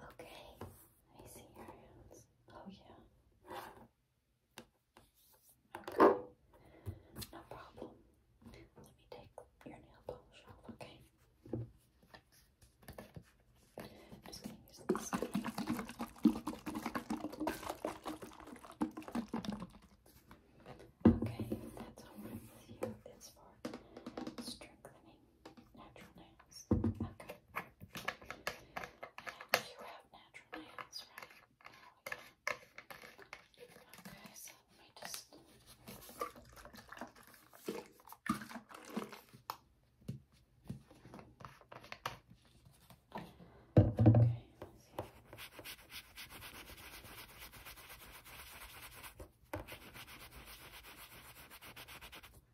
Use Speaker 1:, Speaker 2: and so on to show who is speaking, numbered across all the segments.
Speaker 1: Okay, I see your hands. Oh yeah. no problem. Let me take your nail polish off, okay? just gonna use this Okay, that's all right with you. It's for strengthening natural nails. Okay. you have natural nails, right? Okay, so let me just. Okay,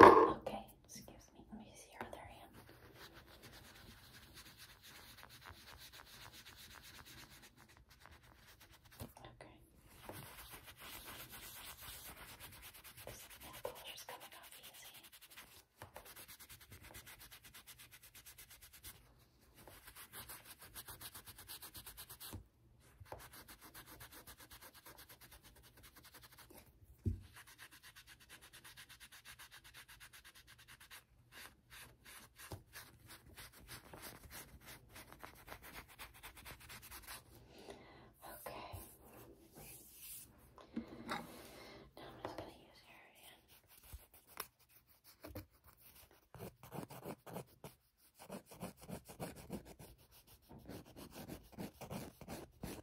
Speaker 1: Okay, excuse me. Let me see your other hand. Okay. This nail polish is coming off easy. Okay. Now I'm just going to use your hand.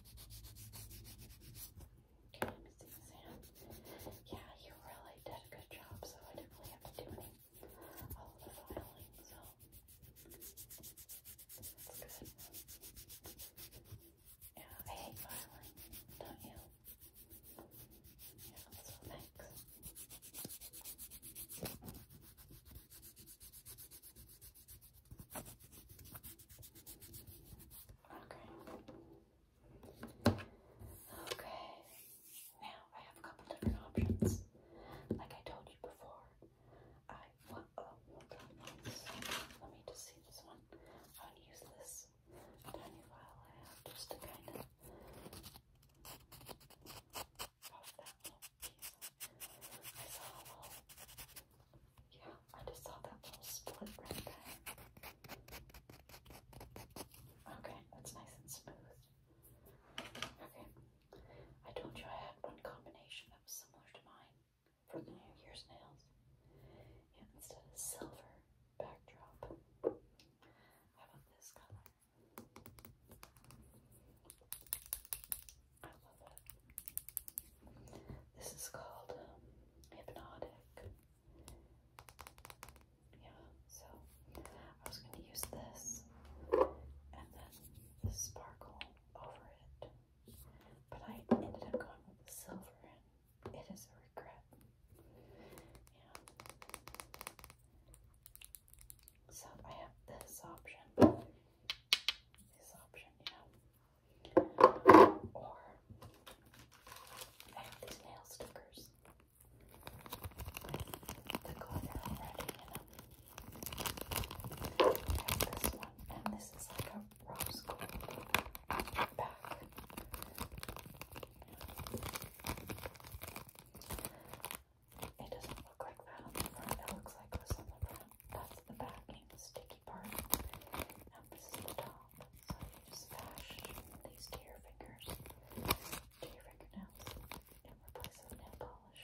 Speaker 1: Can you see Yeah, you really did a good job, so I didn't really have to do any of oh, the filing, so that's good. Yeah, I hate filing, don't you? Oh, yeah, so thanks. Okay. Okay. Now I have a couple different options. Like I told you before, I oh, Let me just see this one. i tiny file I have just to kind of yeah, I just saw that little split right there. Okay, that's nice and smooth. Okay, I told you I had one combination that was similar to mine for the New Year's nails. Yeah, instead of silver backdrop, how about this color? I love it. This is called um, Hypnotic. Yeah, so I was going to use this and then the sparkle over it, but I ended up going with the silver, and it is a regret. Yeah. So I have this option. This option, yeah. Or I have these nail stickers that go in there already, you I have this one, and this is like a rose gold back. It doesn't look like that on the front, it looks like this on the front the backing, sticky part. Now this is the top. So you just bash these to your fingers, to your fingernails, and replace with nail polish.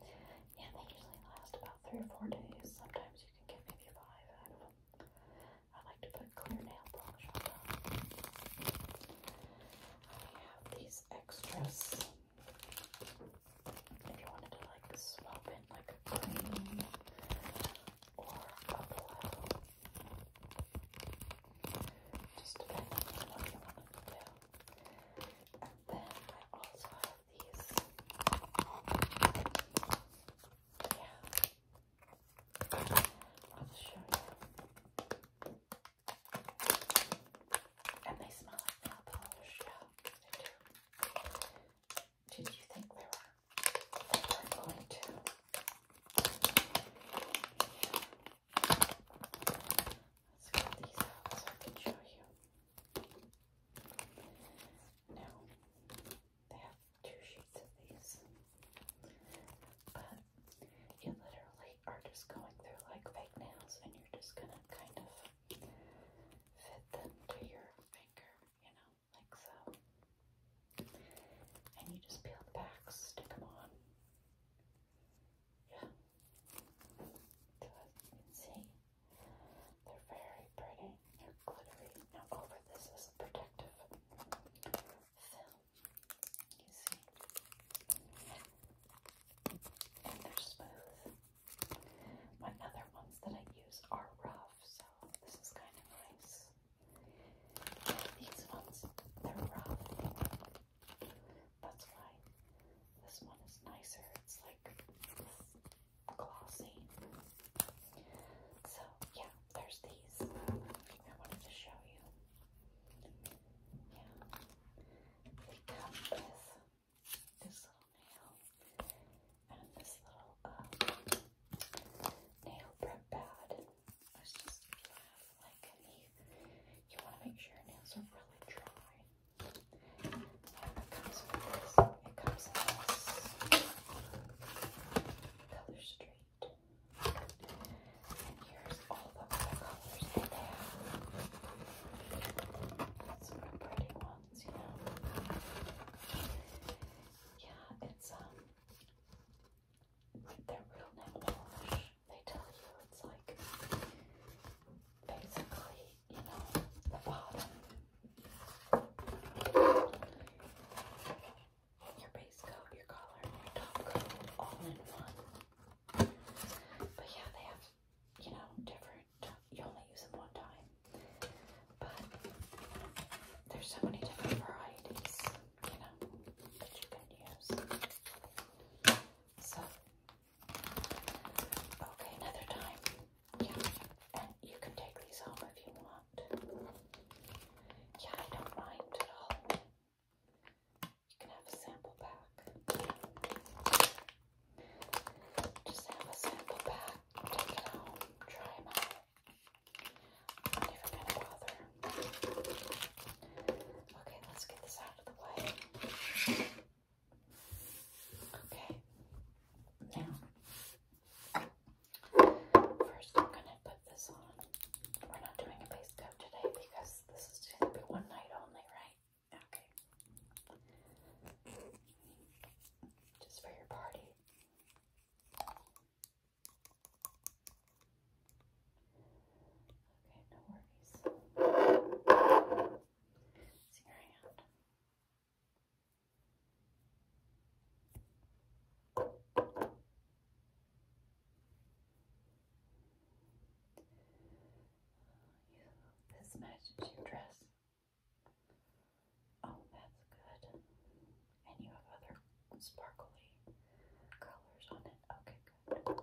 Speaker 1: And they usually last about three or four days. Sometimes you can get maybe five out of them. I like to put clear nail polish on I have these extras if you wanted to like swap in like a green or a blue. Just depending on what you wanted to do. And then I also have these. Yeah. I'll show you. And they smell like nail polish, yeah, they do did you think there were, going to? Let's get these out so I can show you. Now, they have two sheets of these, but you literally are just going through like fake nails and you're just gonna kind of fit them to your finger you know, like so. And you just peel the backs, stick them on. Yeah. as you can see, they're very pretty. They're glittery. Now over this is a protective film. You see? And they're smooth. My other ones that I use are rough, so this is kind of nice. These ones, they're rough. That's why this one is nicer. It's like glossy. So, yeah, there's these I wanted to show you. Yeah. They come with this little nail and this little uh, nail prep pad. It's just if you like any, you want to make sure your nails are really dry. it comes with this. It comes in this color street. And here's all the other colors that they have. That's a pretty one. Yeah, it's um they're real nail polish. They tell you it's like basically, you know, the bottom. Your base coat, your collar, your top coat all in one. But yeah, they have, you know, different you only use them one time. But there's so many different varieties, you know, that you can use. So, okay, another time. Yeah, and you can take these home if you want. Yeah, I don't mind at all. You can have a sample back. Just have a sample pack, take it home, try them out. I'm never gonna bother. Okay, let's get this out of the way. Okay, now, first I'm gonna put this on. We're not doing a base coat today because this is gonna be one night only, right? Okay. Just for your party. Okay, no worries. See your hand. this matches your dress. Oh, that's good. And you have other sparkly colors on it. Okay, good.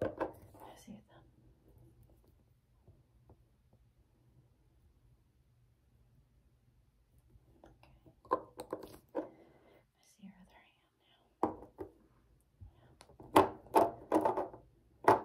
Speaker 1: That's really good I see it Okay. I see your other hand now. Yeah. Your pinky. I mean your pointer.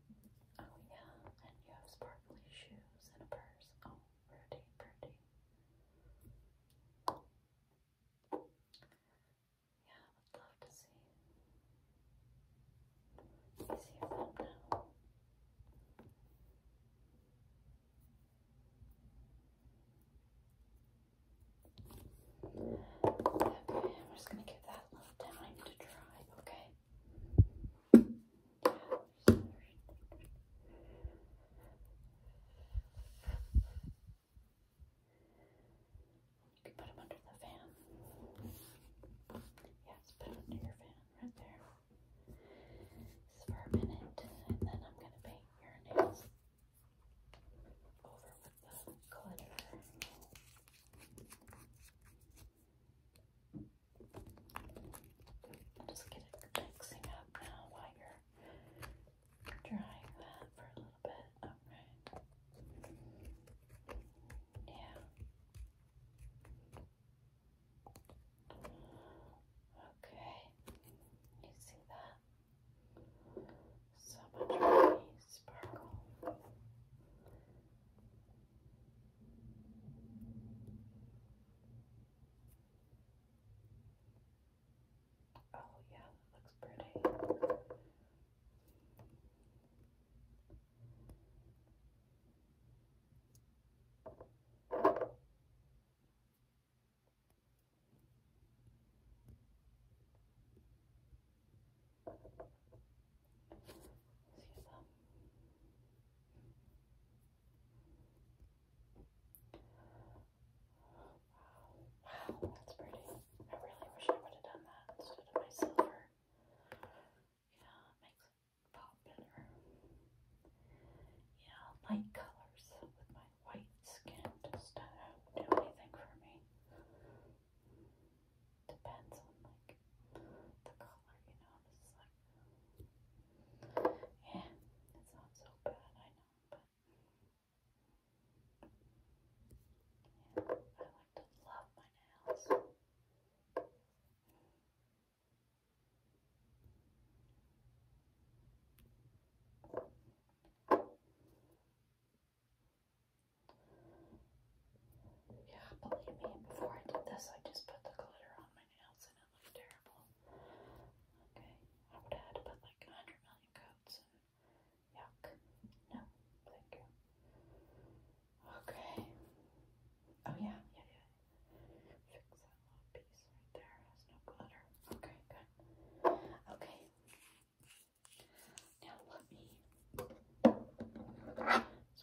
Speaker 1: Oh yeah, and you have sparkly shoes and a purse. Oh, pretty, pretty. Yeah, I would love to see. You see your Okay, I'm just gonna give that a little time to dry, okay? You can put them under the fan. Yeah, just put them under your fan right there. This for a minute, and then I'm going to paint your nails over with the glitter. I'll just get it mixing up now while you're drying that for a little bit. Alright. Yeah. Okay. You see that? So much sparkle. Oh, yeah, that looks pretty. Wow, that's pretty. I really wish I would have done that instead of my silver. Yeah, makes it pop better. Yeah, light colors with my white skin just don't do anything for me. Depends on like the color, you know. It's like yeah, it's not so bad, I know, but yeah, I like to love my nails. Yeah, believe me, before I did this, I just put the glitter on my nails and it looked terrible. Okay, I would have put like a hundred million coats yuck. No, thank you. Okay. Oh yeah, yeah, yeah. Fix that little piece right there. no glitter. Okay, good. Okay. Now let me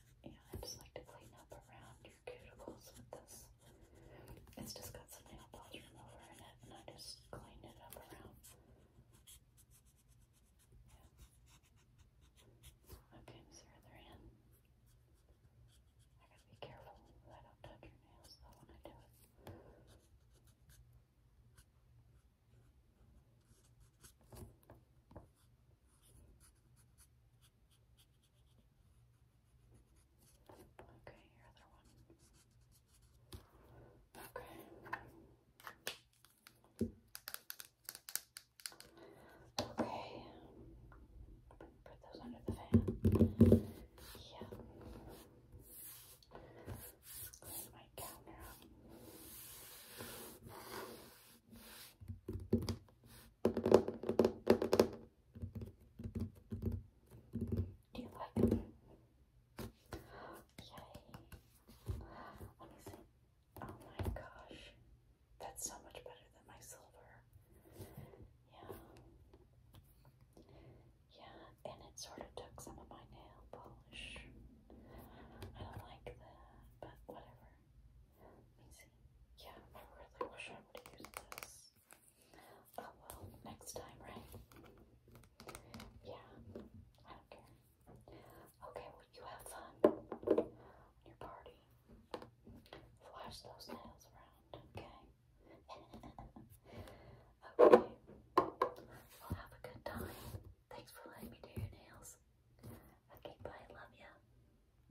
Speaker 1: you know, I just like to clean up around your cuticles with this. It's just got some nail polish remover in it, and I just clean it up around. Yeah. Okay, I'm the other end. I gotta be careful that I don't touch your nails though when I do it. Okay, Okay, your Okay. Okay. Put those under the fan. Yeah. my counter do you like them? Yay. Honestly, oh my gosh. That's so much better than my silver. Yeah. Yeah, and it sort of took some of my nail polish. I don't like that, but whatever. Let Yeah, I really wish I would have used this. Oh well, next time, right? Yeah, I don't care. Okay, well, you have fun your party. Flash those nails around, okay? okay, well, have a good time. Thanks for letting me do your nails. Okay, bye, love ya.